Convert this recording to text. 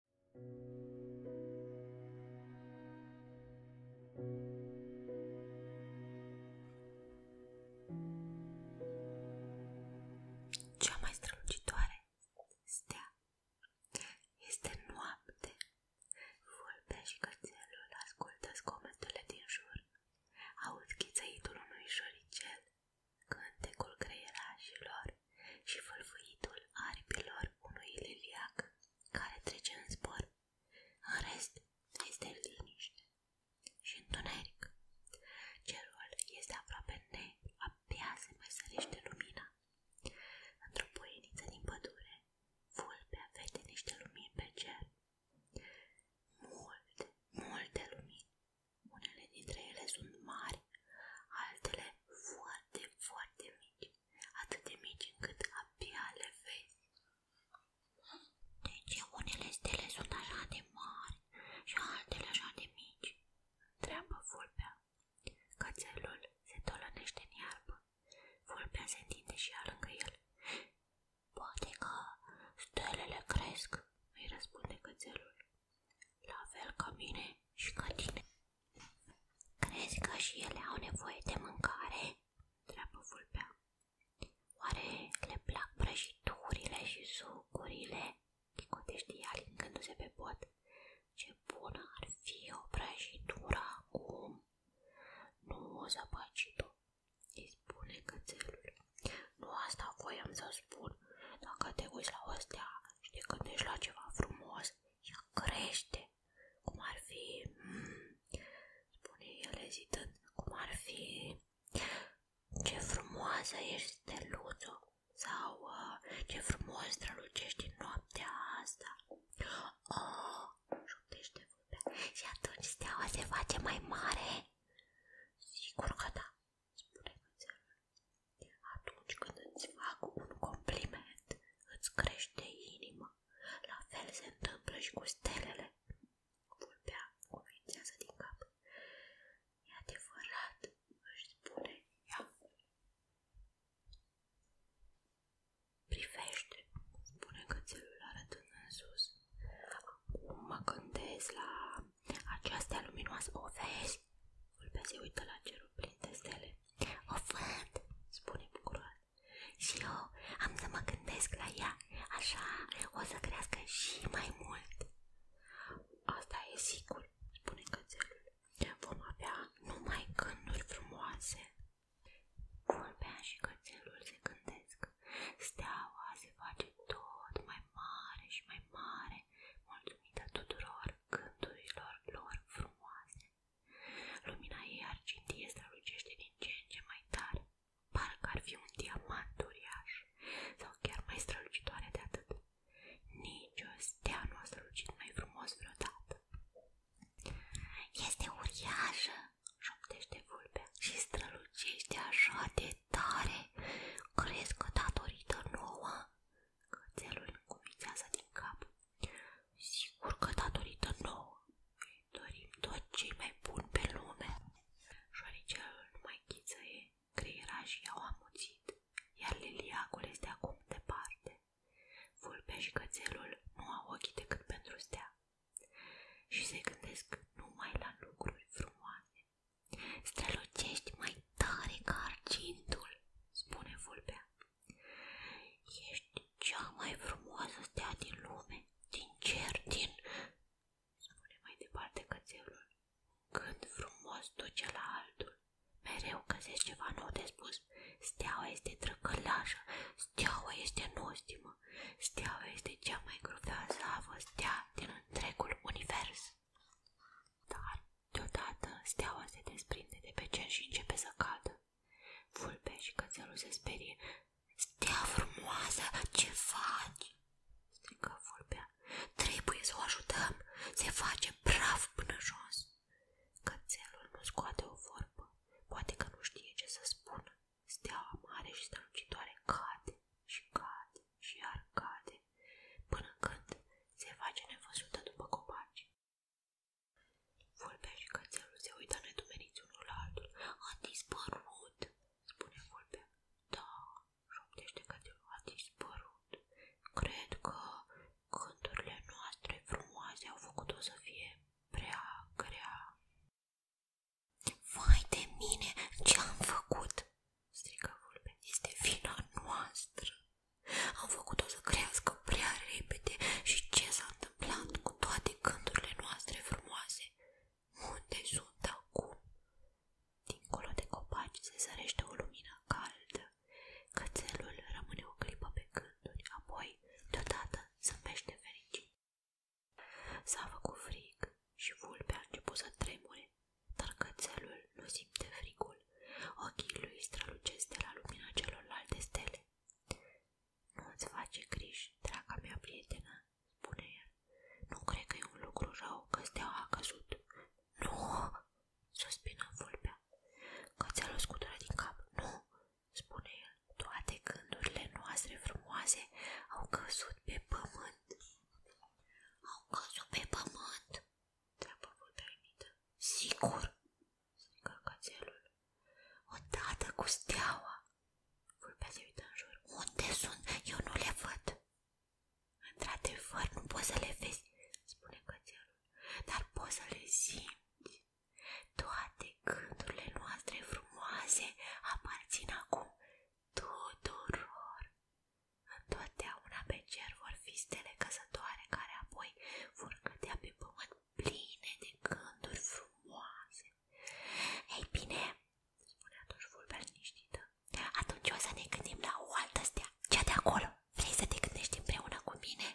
Cea mai strălucitoare stea este noapte. Vulpea și cățelul ascultă zgomotele din jur. Aud chițăitul unui șoricel, cântecul creierașilor și fâlfâitul aripilor unui liliac care trece în zbor. În rest, este liniște și întuneric. Cerul este aproape negru, abia mai sărește lumina. Într-o poieniță din pădure, vulpea vede niște lumini pe cer. Multe, multe lumini. Unele dintre ele sunt mari, altele foarte, foarte mici, atât de mici încât abia le vezi. De deci, ce unele stele sunt așa de mari și altele așa de mici? Întreabă vulpea. Cățelul se tolănește în iarbă. Vulpea se întinde și ea lângă el. Poate că stelele cresc, îi răspunde cățelul. La fel ca mine și ca tine. Crezi că și ele au nevoie de mâncare? Treabă vulpea. Oare le plac prăjiturile și sucurile? Chicotește ea lingându-se pe pot. Ce bună ar fi o prăjitură acum! Nu, zăpăcitul, îi spune cățelul. Nu asta voiam să spun. Dacă te uiți la o stea și te gândești la ceva frumos, ea crește, cum ar fi, mm, spune el ezitând, cum ar fi, ce frumoasă ești, steluțul, sau uh, ce frumos strălucești în noaptea asta. Oh, șoptește vulpea. Și atunci steaua se face mai mare? Sigur că da, spune cățelul. Atunci când îți fac un compliment, îți crește inima. La fel se întâmplă și cu stelele. Vulpea convințează din cap. E adevărat, își spune ea. Privește, spune cățelul arătând în sus. Acum mă gândesc la Vulpea se uită la cerul plin de stele. O văd, spune bucuroasă. Și eu am să mă gândesc la ea, așa o să crească și mai mult. Asta e sigur, spune cățelul. Vom avea numai gânduri frumoase. Vulpea și cățelul se gândesc. Steaua se face tot mai mare și mai mare, mulțumită tuturor gândurilor lor frumoase. Lumina ei argintie strălucește din ce în ce mai tare, parcă ar fi un diamant uriaș sau chiar mai strălucitoare de atât. Nici o stea nu a strălucit mai frumos vreodată. Este uriașă, șoptește vulpea și strălucește așa de tare. Crezi că datorită nouă Cățelul încuvițează din cap. Sigur că datorită nouă îi dorim tot ce mai bun pe lume. Șoricelul nu mai ghițăie, creierajii au amuțit, iar liliacul este acum departe. Vulpea și cățelul nu au ochii decât pentru stea și se gândesc numai la lucruri frumoase. Strălucești mai tare ca argintul, spune vulpea. Ești cea mai frumoasă stea din lume, din cer, din... Spune mai departe cățelul. Când frumos duce la altul, mereu găsești ceva nou de Steaua este trăcălașă, steaua este nostimă, steaua este cea mai groazavă stea din întregul univers. Dar, deodată, steaua se desprinde de pe cer și începe să cadă. Vulpe și cățelul se sperie. Stea frumoasă, ce faci? Strică vulpea. Trebuie să o ajutăm. Se face praf până jos. Cățelul nu scoate o vorbă. Poate că nu știe ce să spună. Steaua mare și strălucitoare cade și cade și iar cade, până când se face nevăzută după copaci. Vulpea și cățelul se uită nedumeriți unul altul. A dispărut, spune vulpea. Da, șoptește cățelul, a dispărut. Cred că cânturile noastre frumoase au făcut-o să fie prea grea. Vai de mine, ce-am făcut? strigă vulpea. Este vina noastră. Am făcut-o să crească prea repede și ce s-a întâmplat cu toate gândurile noastre frumoase? Unde sunt acum? Dincolo de copaci se sărește o lumină caldă. Cățelul rămâne o clipă pe gânduri, apoi, deodată, zâmbește fericit. S-a făcut frig și vulpea a început tremure, dar cățelul nu frigul. Ochii lui strălucesc de la lumina celorlalte stele. Nu-ți face griji, draga mea prietenă, spune el. Nu cred că e un lucru rău că steaua a căzut. Nu, suspină vulpea. Că ți-a luat scutura din cap. Nu, spune el. Toate gândurile noastre frumoase au căzut pe pământ. Au căzut pe pământ? Treabă vulpea imită. Sigur, strigă cățelul. Odată cu steaua! Vulpea se uită în jur. Unde sunt? Eu nu le văd! Într-adevăr, nu poți să le vezi, spune cățelul, dar poți să le simți. Toate gândurile noastre frumoase aparțin acum tuturor. Întotdeauna pe cer vor fi stele căsătoare care apoi vor cădea pe pământ pline de gânduri frumoase. Ei bine, spune atunci vulpea liniștită, atunci o să ne gândim la o altă stea, cea de acolo. Vrei să te gândești împreună cu mine?